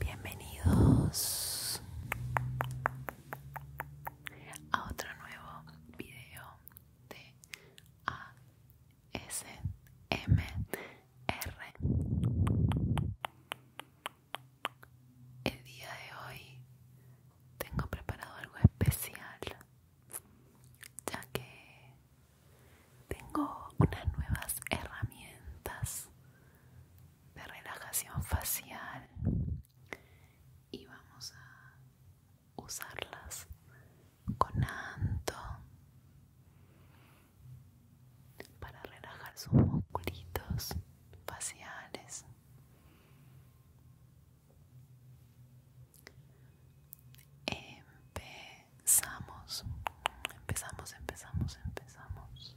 Bienvenidos a otro nuevo video de ASMR. El día de hoy tengo preparado algo especial, ya que tengo unas nuevas herramientas de relajación facial y vamos a usarlas con Anto para relajar sus musculitos faciales. Empezamos, empezamos, empezamos, empezamos.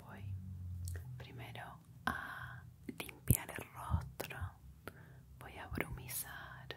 Voy primero a limpiar el rostro, voy a brumizar.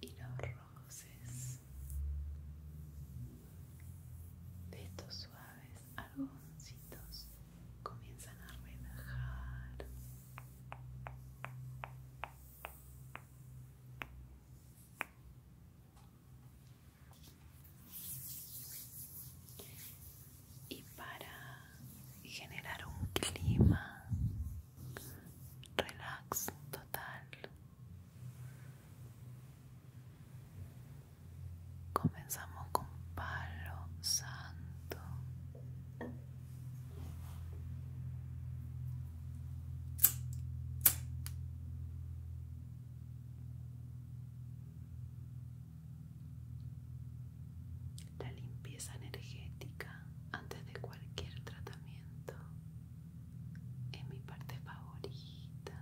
y los roces de estos suaves algodoncitos comienzan a relajar y para generar un clima relax total Comenzamos con palo santo. La limpieza energética antes de cualquier tratamiento es mi parte favorita.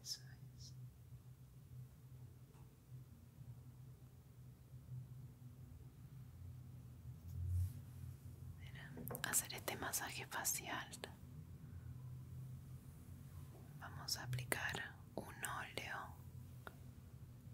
es. hacer este masaje facial. Vamos a aplicar un óleo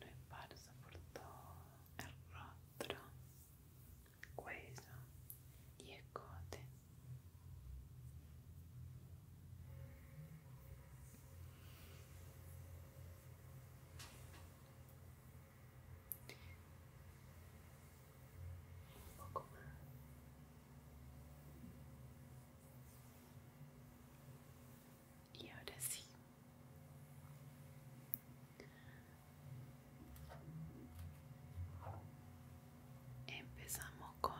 lo esparzo por todo el rostro, cuello y escote. Un poco más. Y ahora sí. Empezamos con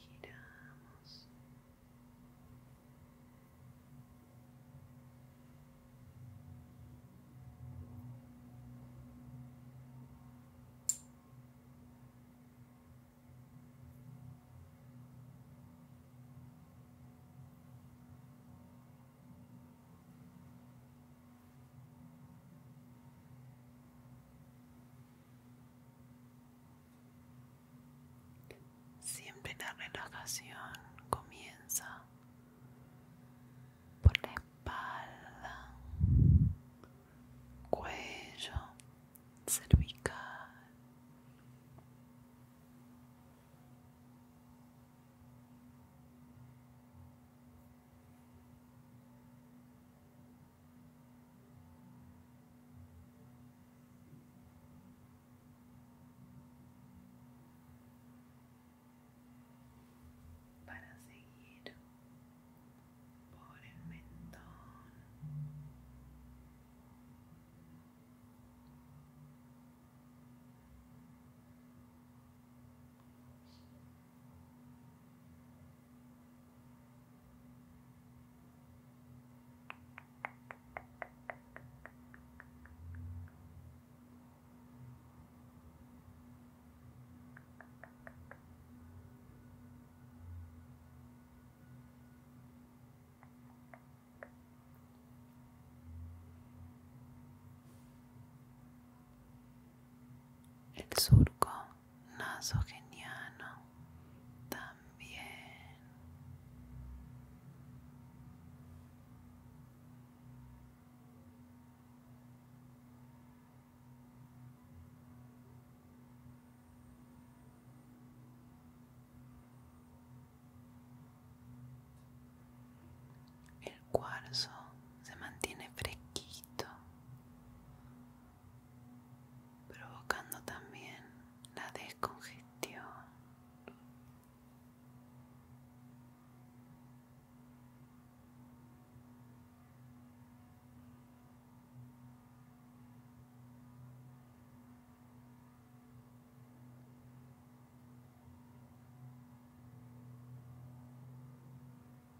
giramos Siempre la relajación comienza por la espalda, cuello, cervical para seguir por el mentón. El surco naso geniano también el cuarzo se mantiene fresquito provocando también la descongestión arriba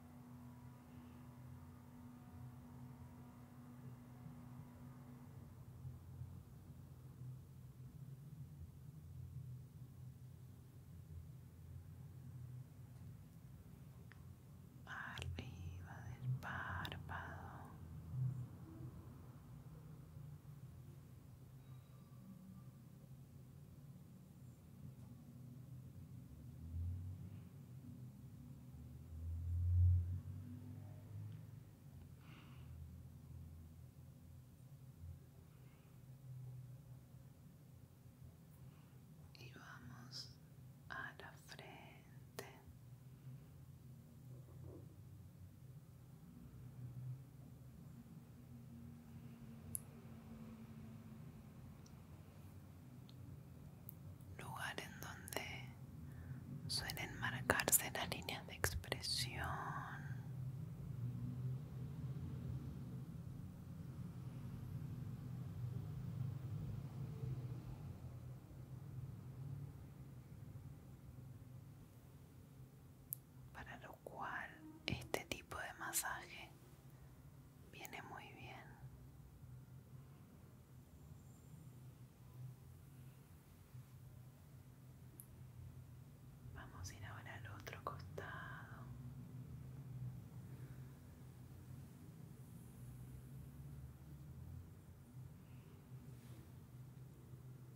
del párpado y vamos a la frente lugar en donde suelen marcarse las líneas de expresión para lo cual este tipo de masaje viene muy bien. Vamos a ir ahora al otro costado.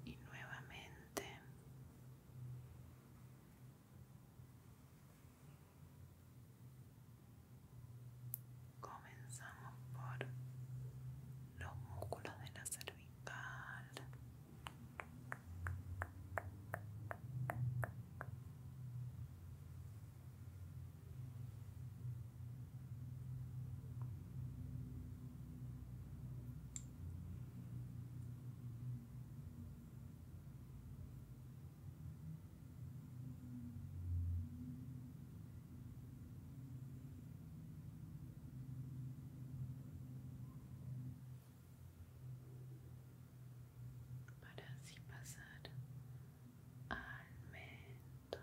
Y nuevamente Comenzamos por los músculos de la cervical para así pasar al mentón.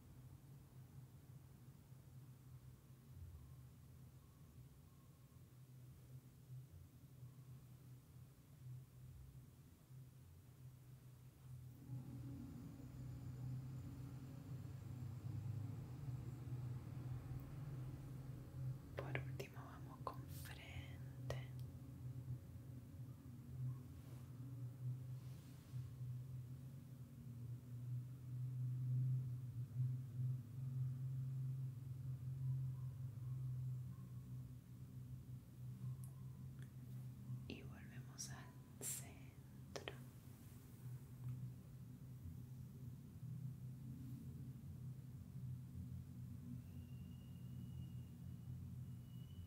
Por último vamos con frente y volvemos al centro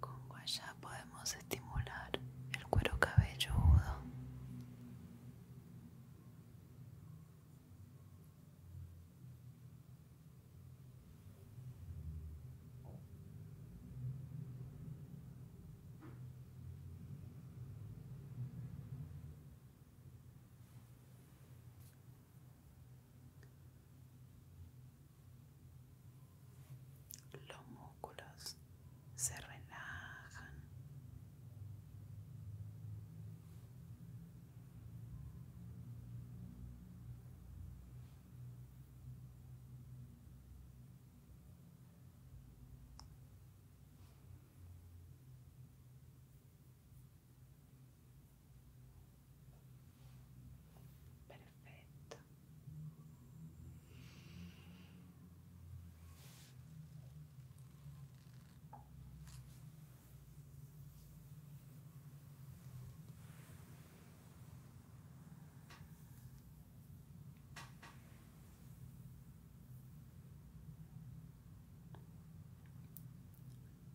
Con ya podemos estimular el cuero cabelludo. Los músculos se relajan perfecto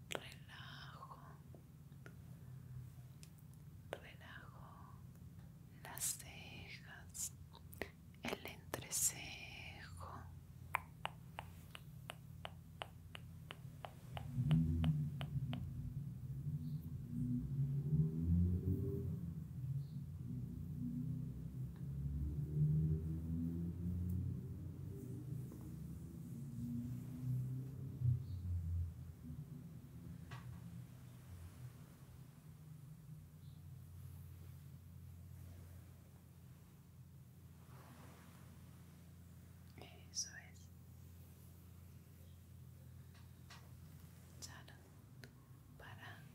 Relajo relajo las cejas, el entrecejo. Eso es. para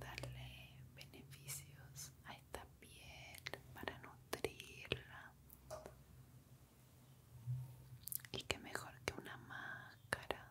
darle beneficios a esta piel, para nutrirla. Y qué mejor que una máscara.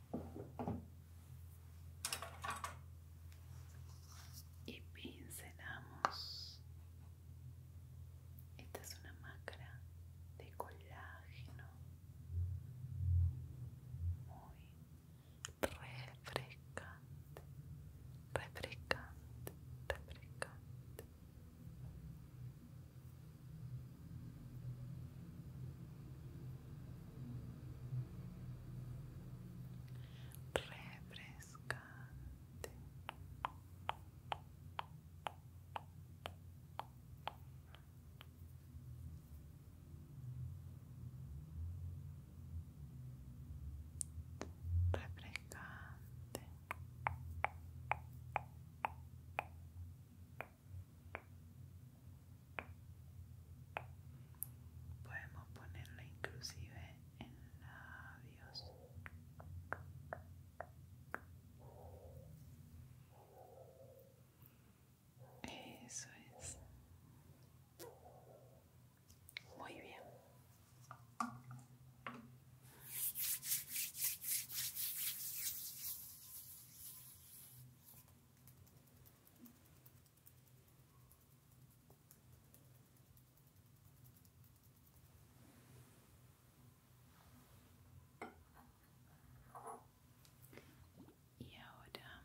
y pincelamos. Esta es una máscara de colágeno muy refrescante, refrescante, refrescante refrescante refrescante Podemos ponerla inclusive en labios. Eso es. Muy bien. Y ahora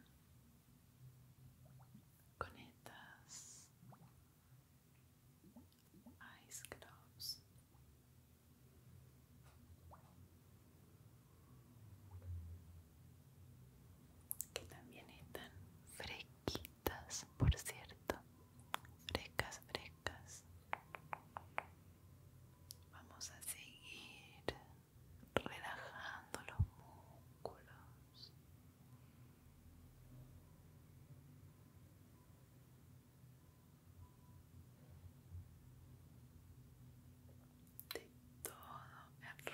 con estas ice gloves que también están fresquitas por cierto frescas frescas vamos a seguir relajando los músculos de todo el rostro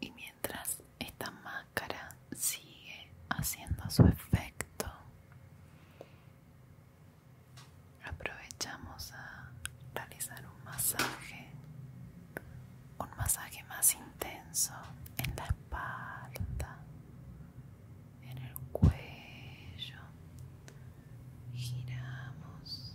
Y mientras esta máscara sigue haciendo su efecto, aprovechamos a realizar un masaje, un masaje más intenso en la espalda, en el cuello. Giramos.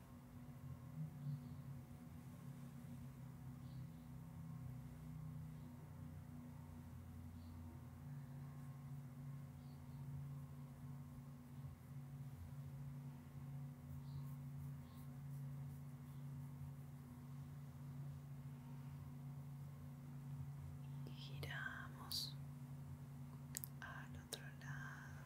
Giramos al otro lado.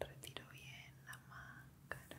Retiro bien la máscara.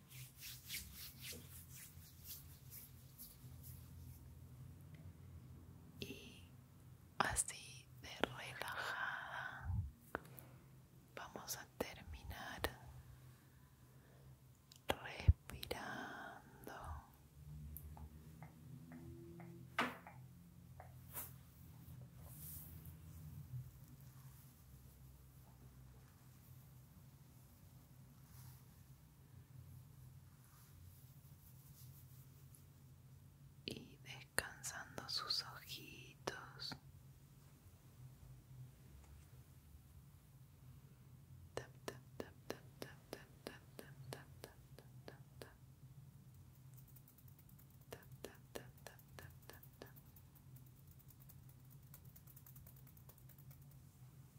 y así de relajada vamos a terminar respirando y descansando sus ojitos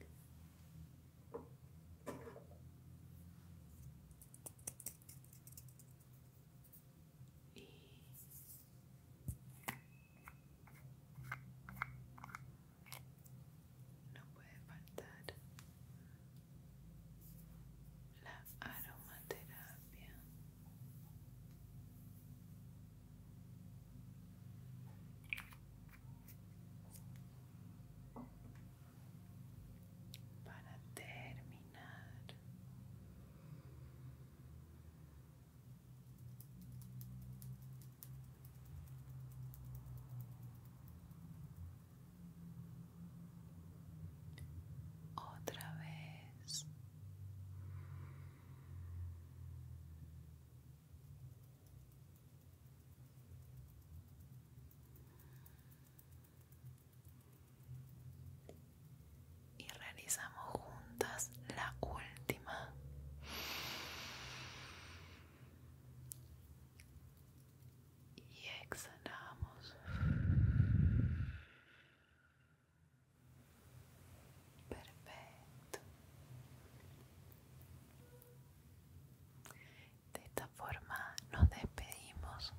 Y... No puede faltar la aromaterapia. Para terminar, otra vez y realizamos juntas la última y exhalamos Perfecto. De esta forma nos despedimos.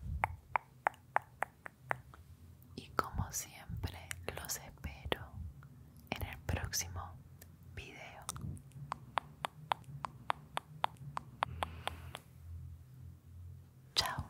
Y como siempre los espero en el próximo video. Chao.